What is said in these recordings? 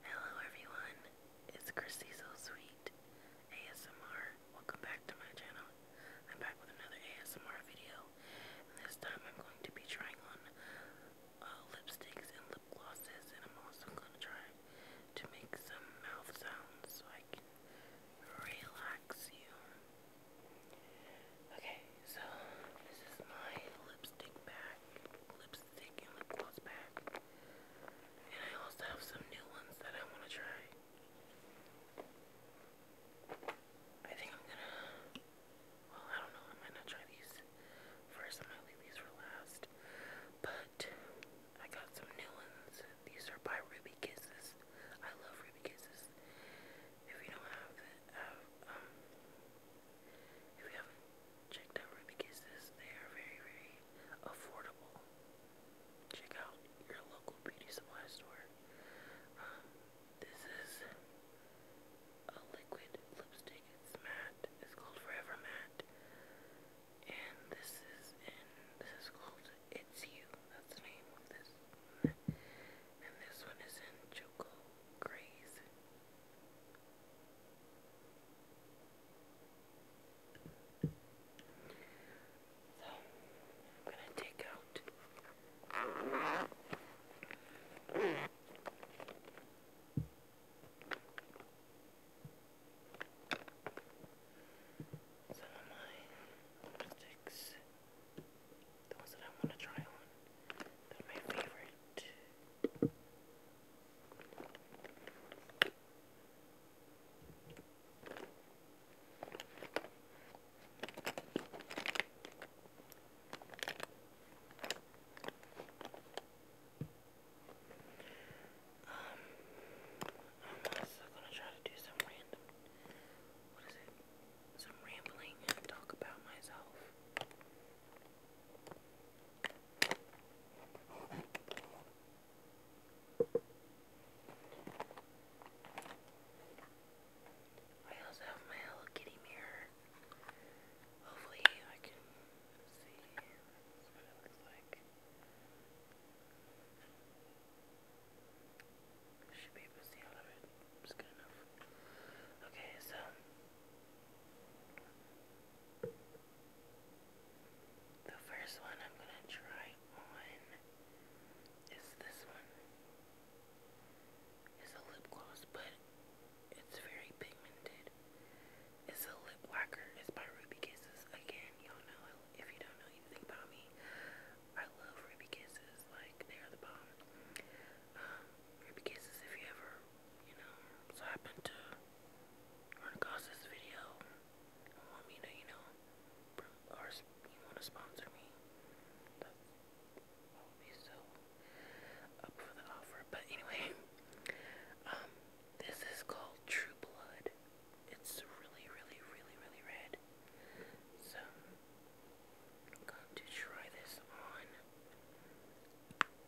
Hello everyone, it's Christy So Sweet ASMR. Welcome back to my channel. I'm back with another ASMR video, this time I'm going to be trying on uh, lipsticks and lip glosses, and I'm also going to try to make some mouth sounds so I can relax you. Okay, so this is my lipstick bag, lipstick and lip back. And I also have some new ones that I want to try. I think I'm gonna, well, I don't know, I might not try these first, I might for last. But I got some new ones. These are by Ruby Kisses. I love Ruby Kisses. If you don't have it, uh, um, if you have checked out Ruby Kisses, they are very, very affordable. Check out your local beauty supply store. Um, this is a liquid lipstick. It's matte. It's called Forever Matte. And this is in, this is called It's You. That's the name of this. And this one is in Choco Graze. So, I'm going to take out some of my lipsticks, the ones that I want to try on, that are my favorite. Um, I'm also gonna try to do some random what is it? Some rambling talk about myself. I also have my Hello Kitty mirror. Hopefully I can see what it looks like. should be able to see out of it. It's good enough. Okay, so the first one I'm going to try on is this one. It's a lip gloss, but it's very pigmented. It's a lip lacquer. It's by Ruby Kisses. Again, y'all know, if you don't know anything about me, I love Ruby Kisses. Like, they are the bomb. Um, Ruby Kisses, if you ever you know, so happened to run across this video want me to, you know, or you want to sponsor me. That would be so up for the offer. But anyway, um, this is called True Blood. It's really, really, really, really red. So, I'm going to try this on.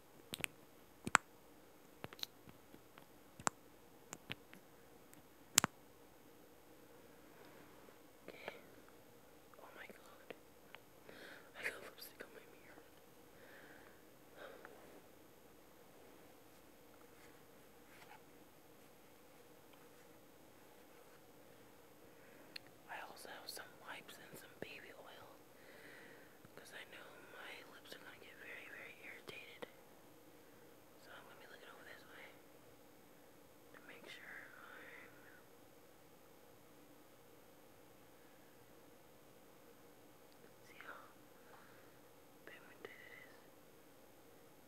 Okay. Oh my god. I got lipstick on my mirror. I also have some wipes and some baby oil because I know my lips are gonna get very, very irritated. So I'm gonna be looking over this way to make sure I'm see how pigmented it is. Okay,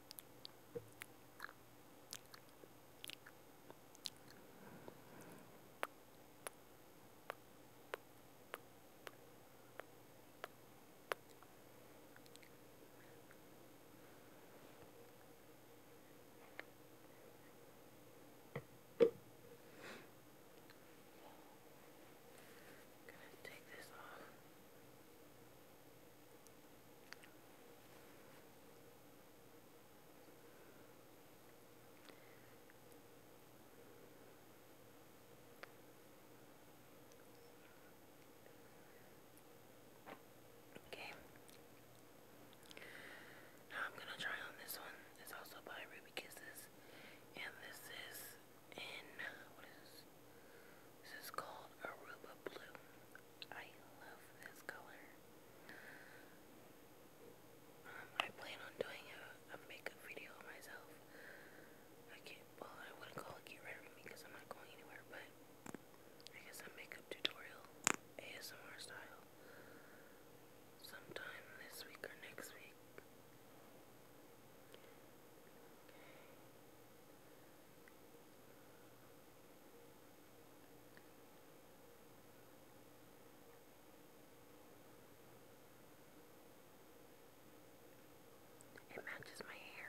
I'm gonna take this off. Okay. Now I'm gonna try on this one. It's also by Ruby Kisses, and this is in what is this? is called Aruba Blue. I love this color. Um, I plan on doing a, a makeup video myself. I can't, well, I wouldn't call it Get Ready With Me because I'm not going anywhere, but I guess a makeup tutorial, ASMR style, sometime this week or next week. It matches my hair.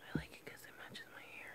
I like it because it matches my hair.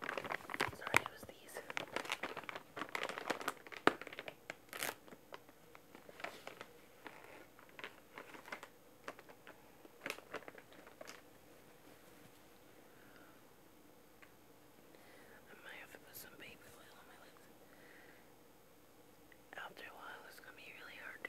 Sorry, it was these. I might have to put some baby oil on my lips. After a while, it's gonna be really hard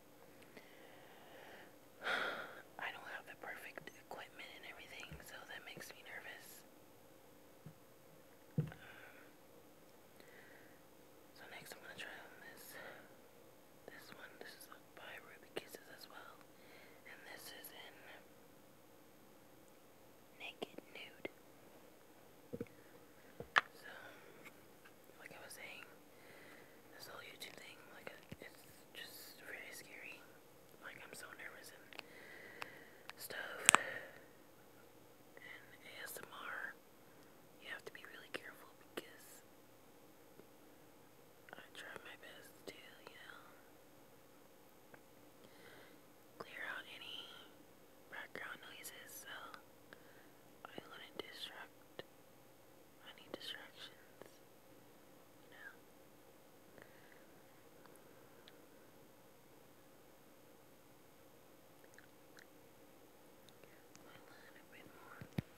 I don't have the perfect equipment and everything, so that makes me nervous. Um, so next I'm gonna try on this this one. This is by Ruby Kisses as well. And this is in Naked Nude. So like I was saying, this whole YouTube thing, like it's just really scary. Like I'm so nervous and stuff. And ASMR, you have to be really careful because I try my best to, you know, clear out any background noises so I wouldn't distract any distractions, you know. Well, a little bit more. Okay.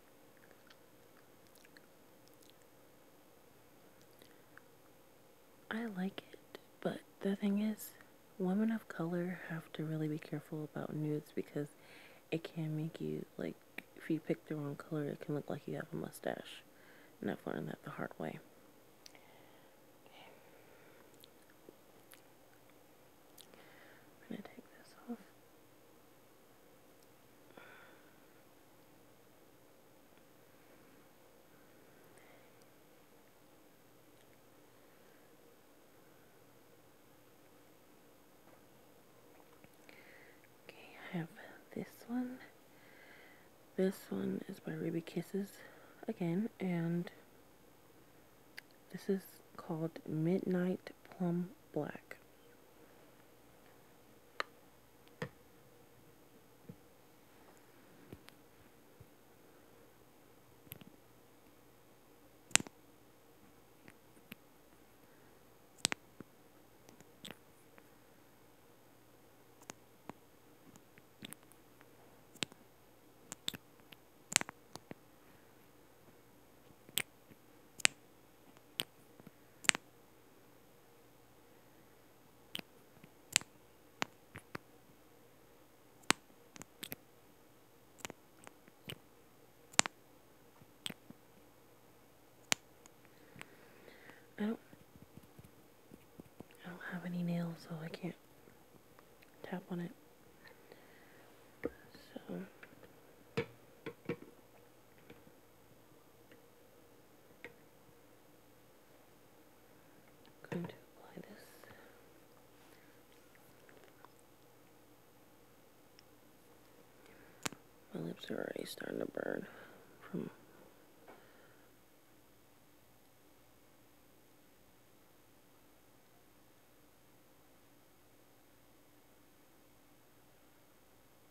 I like it, but the thing is, women of color have to really be careful about nudes because it can make you, like, if you pick the wrong color, it can look like you have a mustache. And I've learned that the hard way. I'm going to take this off. Okay, I have this one. This one is by Ruby Kisses again, and this is called Midnight plum black. I oh. don't I don't have any nails so I can't tap on it. So going to apply this. My lips are already starting to burn from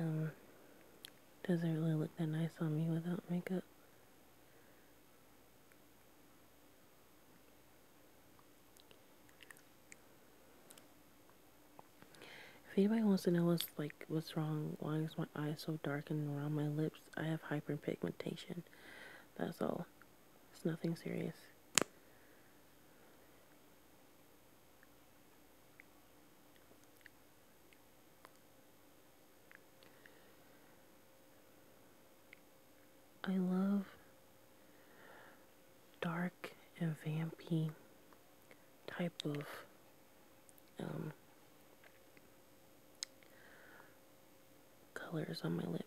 Um, doesn't really look that nice on me without makeup. If anybody wants to know what's like what's wrong, why is my eyes so dark and around my lips? I have hyperpigmentation. That's all. It's nothing serious. I love dark and vampy type of um, colors on my lips.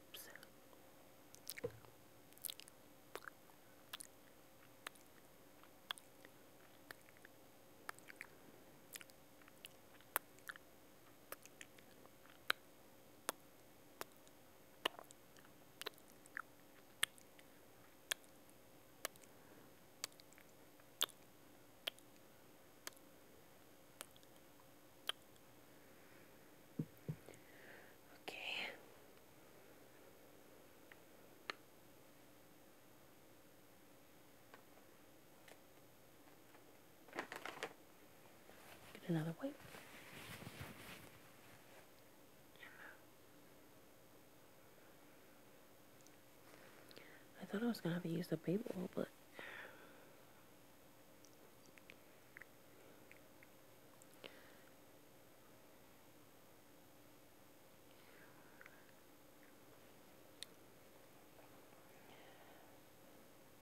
Okay. Get another wipe. I thought I was gonna have to use the baby but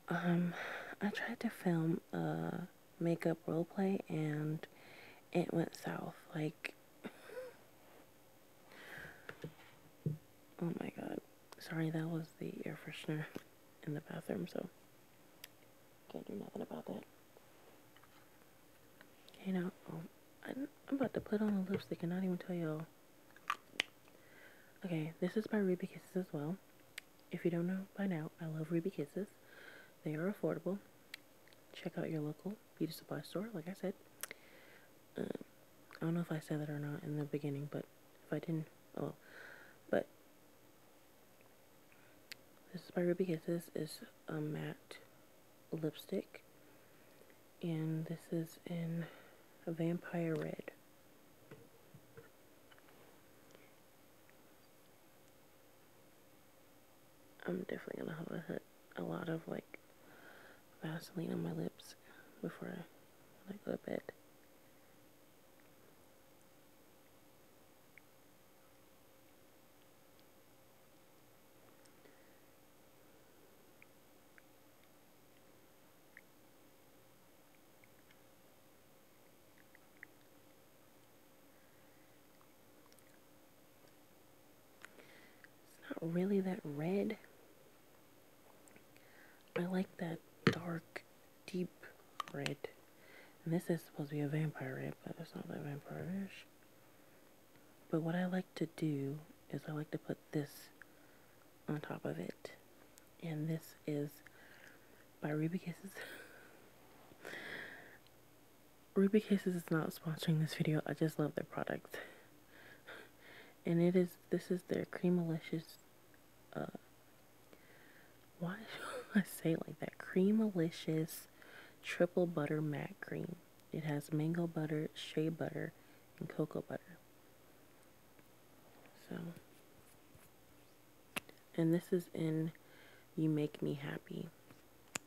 um, I tried to film a makeup role play and it went south. Like oh my god. Sorry, that was the air freshener in the bathroom, so can't do nothing about that. Okay, now, oh, I'm, about to put on a lipstick and cannot even tell y'all. Okay, this is by Ruby Kisses as well. If you don't know by now, I love Ruby Kisses. They are affordable. Check out your local beauty supply store, like I said. Um, I don't know if I said that or not in the beginning, but if I didn't, oh, but this is by Ruby Kisses. is a matte lipstick, and this is in Vampire Red. I'm definitely gonna have a, lot of like Vaseline on my lips before I go to bed. It's not really that red. I like that dark, deep red. And this is supposed to be a vampire red, but it's not that vampireish. But what I like to do is I like to put this on top of it. And this is by Ruby Kisses. Ruby cases is not sponsoring this video. I just love their product. and it is, this is their cream Creamalicious, uh, why should I say it like that? Cream Creamalicious Triple Butter Matte Cream. It has mango butter, shea butter, and cocoa butter. So, and this is in You Make Me Happy.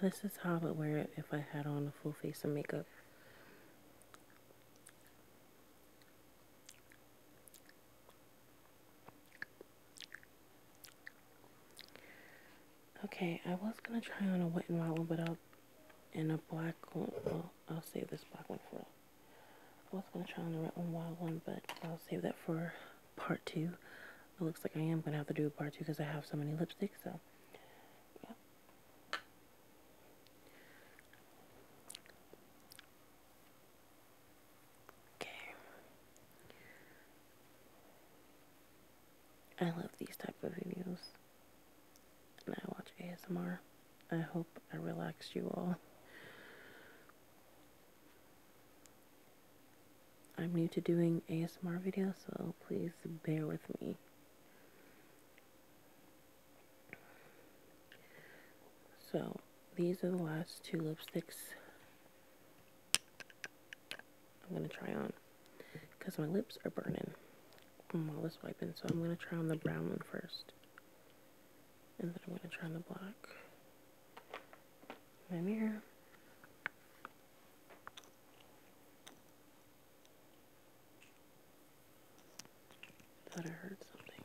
This is how I would wear it if I had on a full face of makeup. Okay, I was gonna try on a wet and wild one, but I'll in a black one. Well, I'll save this black one for. I was gonna try on the red and wild one, but I'll save that for part two. It looks like I am gonna have to do a part two because I have so many lipsticks. So, yeah. Okay. I love these type of videos. And I watch ASMR. I hope I relaxed you all. I'm new to doing ASMR videos, so please bear with me. So these are the last two lipsticks I'm going to try on because my lips are burning from all this wiping. So I'm going to try on the brown one first. And then I'm going to try on the black. My mirror. Thought I heard something.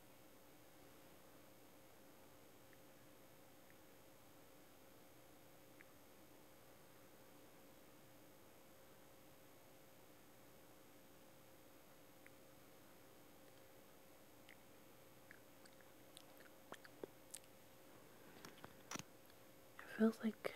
It feels like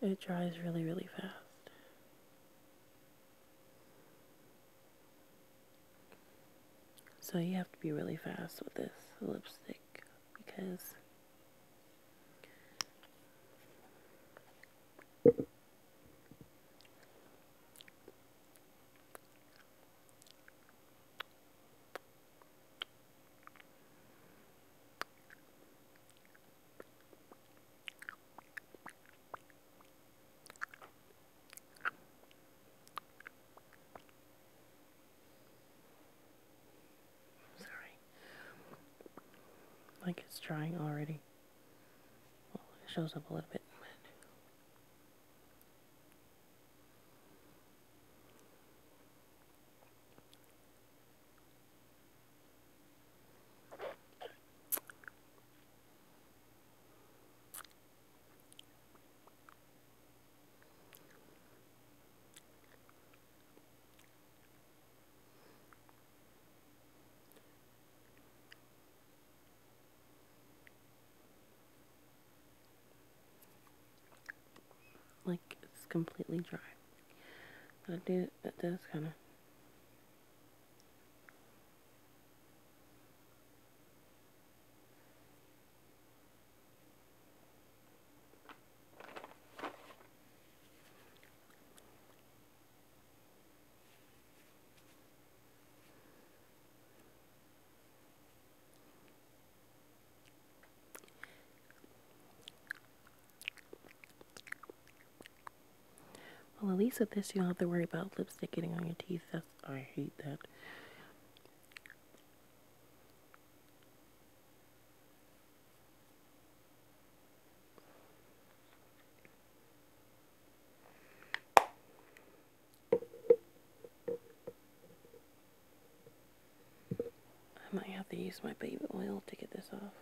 It dries really, really fast. So you have to be really fast with this lipstick because Sorry. Like it's drying already. Well, it shows up a little bit. Like it's completely dry. But do, that does kind of. Well, at least with this, you don't have to worry about lipstick getting on your teeth. That's, I hate that. I might have to use my baby oil to get this off.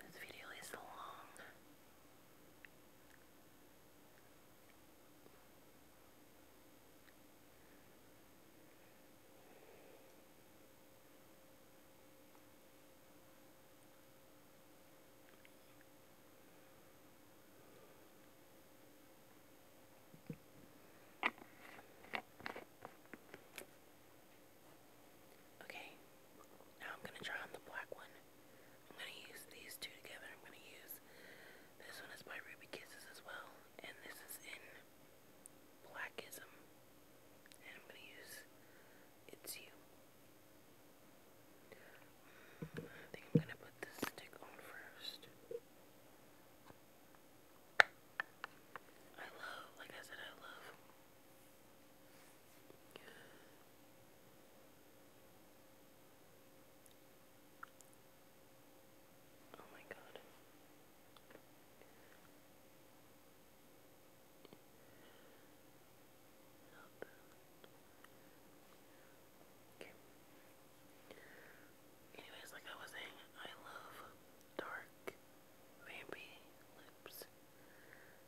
This video is long. Okay, now I'm going to draw on the black one. I'm going to use these two together. I'm going to use this one is by Ruby Kisses as well. And this is in Blackism. And I'm going to use It's You. Mm, I think I'm going to put this stick on first. I love, like I said, I love Oh my god. Anyways, like I was saying, I love dark, vampy lips.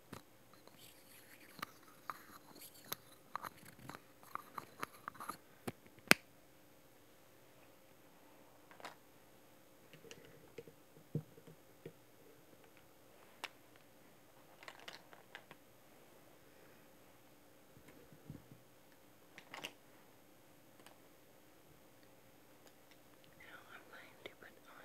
Now I'm going to put on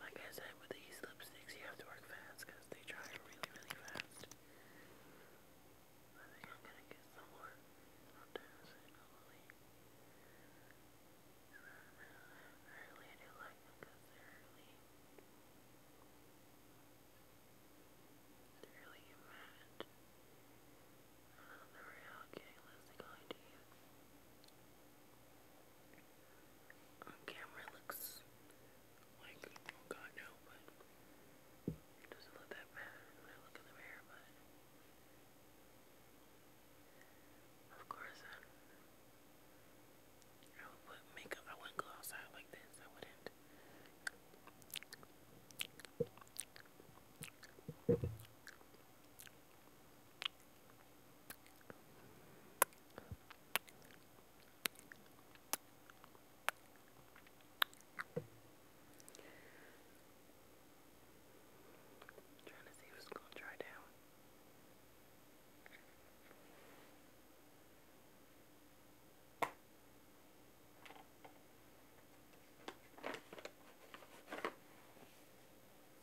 Like I said, with these lipsticks, you have to work fast because they dry really, really fast. I think I'm gonna get some more on Thursday, probably. Early, I do like them because they're early. They're really matte. I don't remember how getting lipstick on to you. I on camera looks like, oh god no, but it doesn't look that bad when I look in the mirror, but of course I, uh, I would put makeup, I wouldn't go outside like this, I wouldn't. I'm trying to see who's gonna dry down.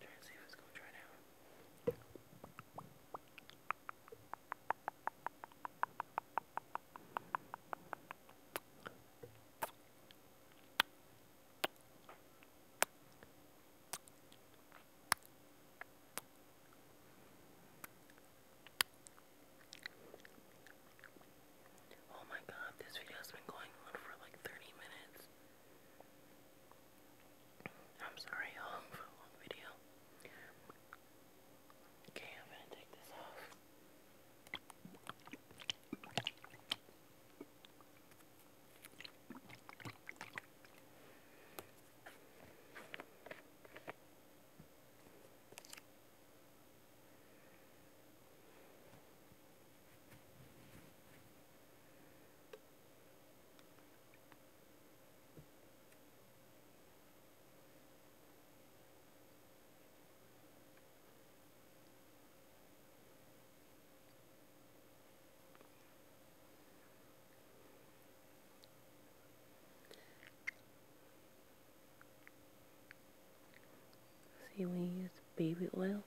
Try and see if it's going to dry now. Oh my god, this video has been going on for like 30 minutes. I'm sorry, y'all, for a long video. Okay, I'm gonna take this off. See, we baby oil,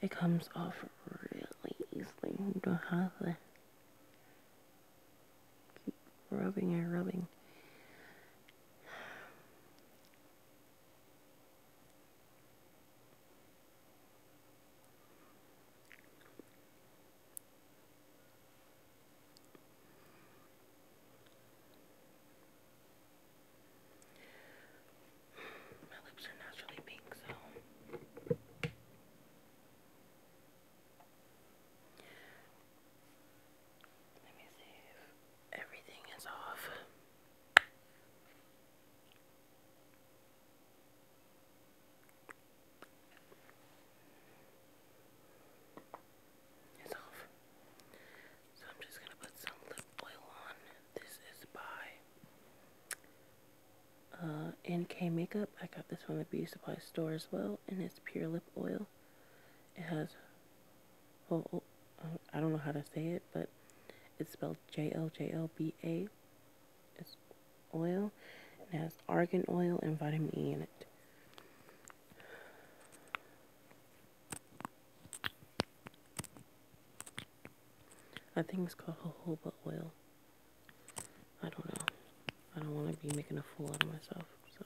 it comes off really easily. don't have to keep rubbing and rubbing. My lips are naturally pink, so let me see if everything is off. It's off. So I'm just going to put some lip oil on. This is by uh, NK Makeup, I got this from the beauty supply store as well, and it's pure lip oil. It has, well, oh, I don't know how to say it, but it's spelled J-L-J-L-B-A. It's oil, and it has argan oil and vitamin E in it. I think it's called jojoba oil. I don't know. I don't want to be making a fool out of myself. So.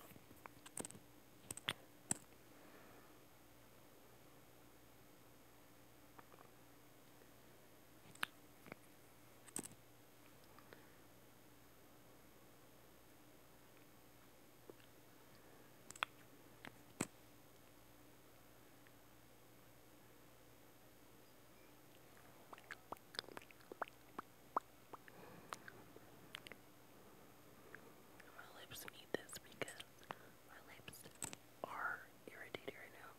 My lips need this because my lips are irritated right now.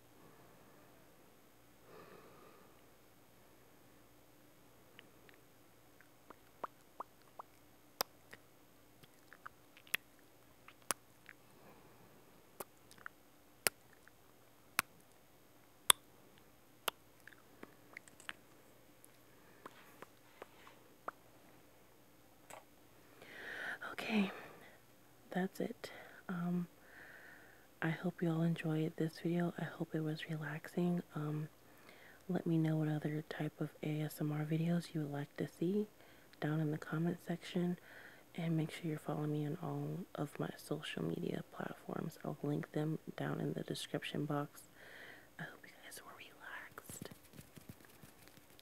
Okay, that's it. Um, I hope you all enjoyed this video. I hope it was relaxing. Um, let me know what other type of ASMR videos you would like to see down in the comment section. And make sure you're following me on all of my social media platforms. I'll link them down in the description box. I hope you guys were relaxed.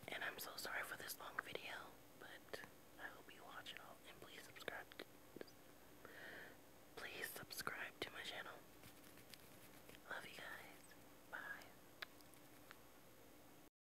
And I'm so sorry for this long video, but I hope you watch it all. And please subscribe. To, please subscribe to my channel. Love you guys. Bye.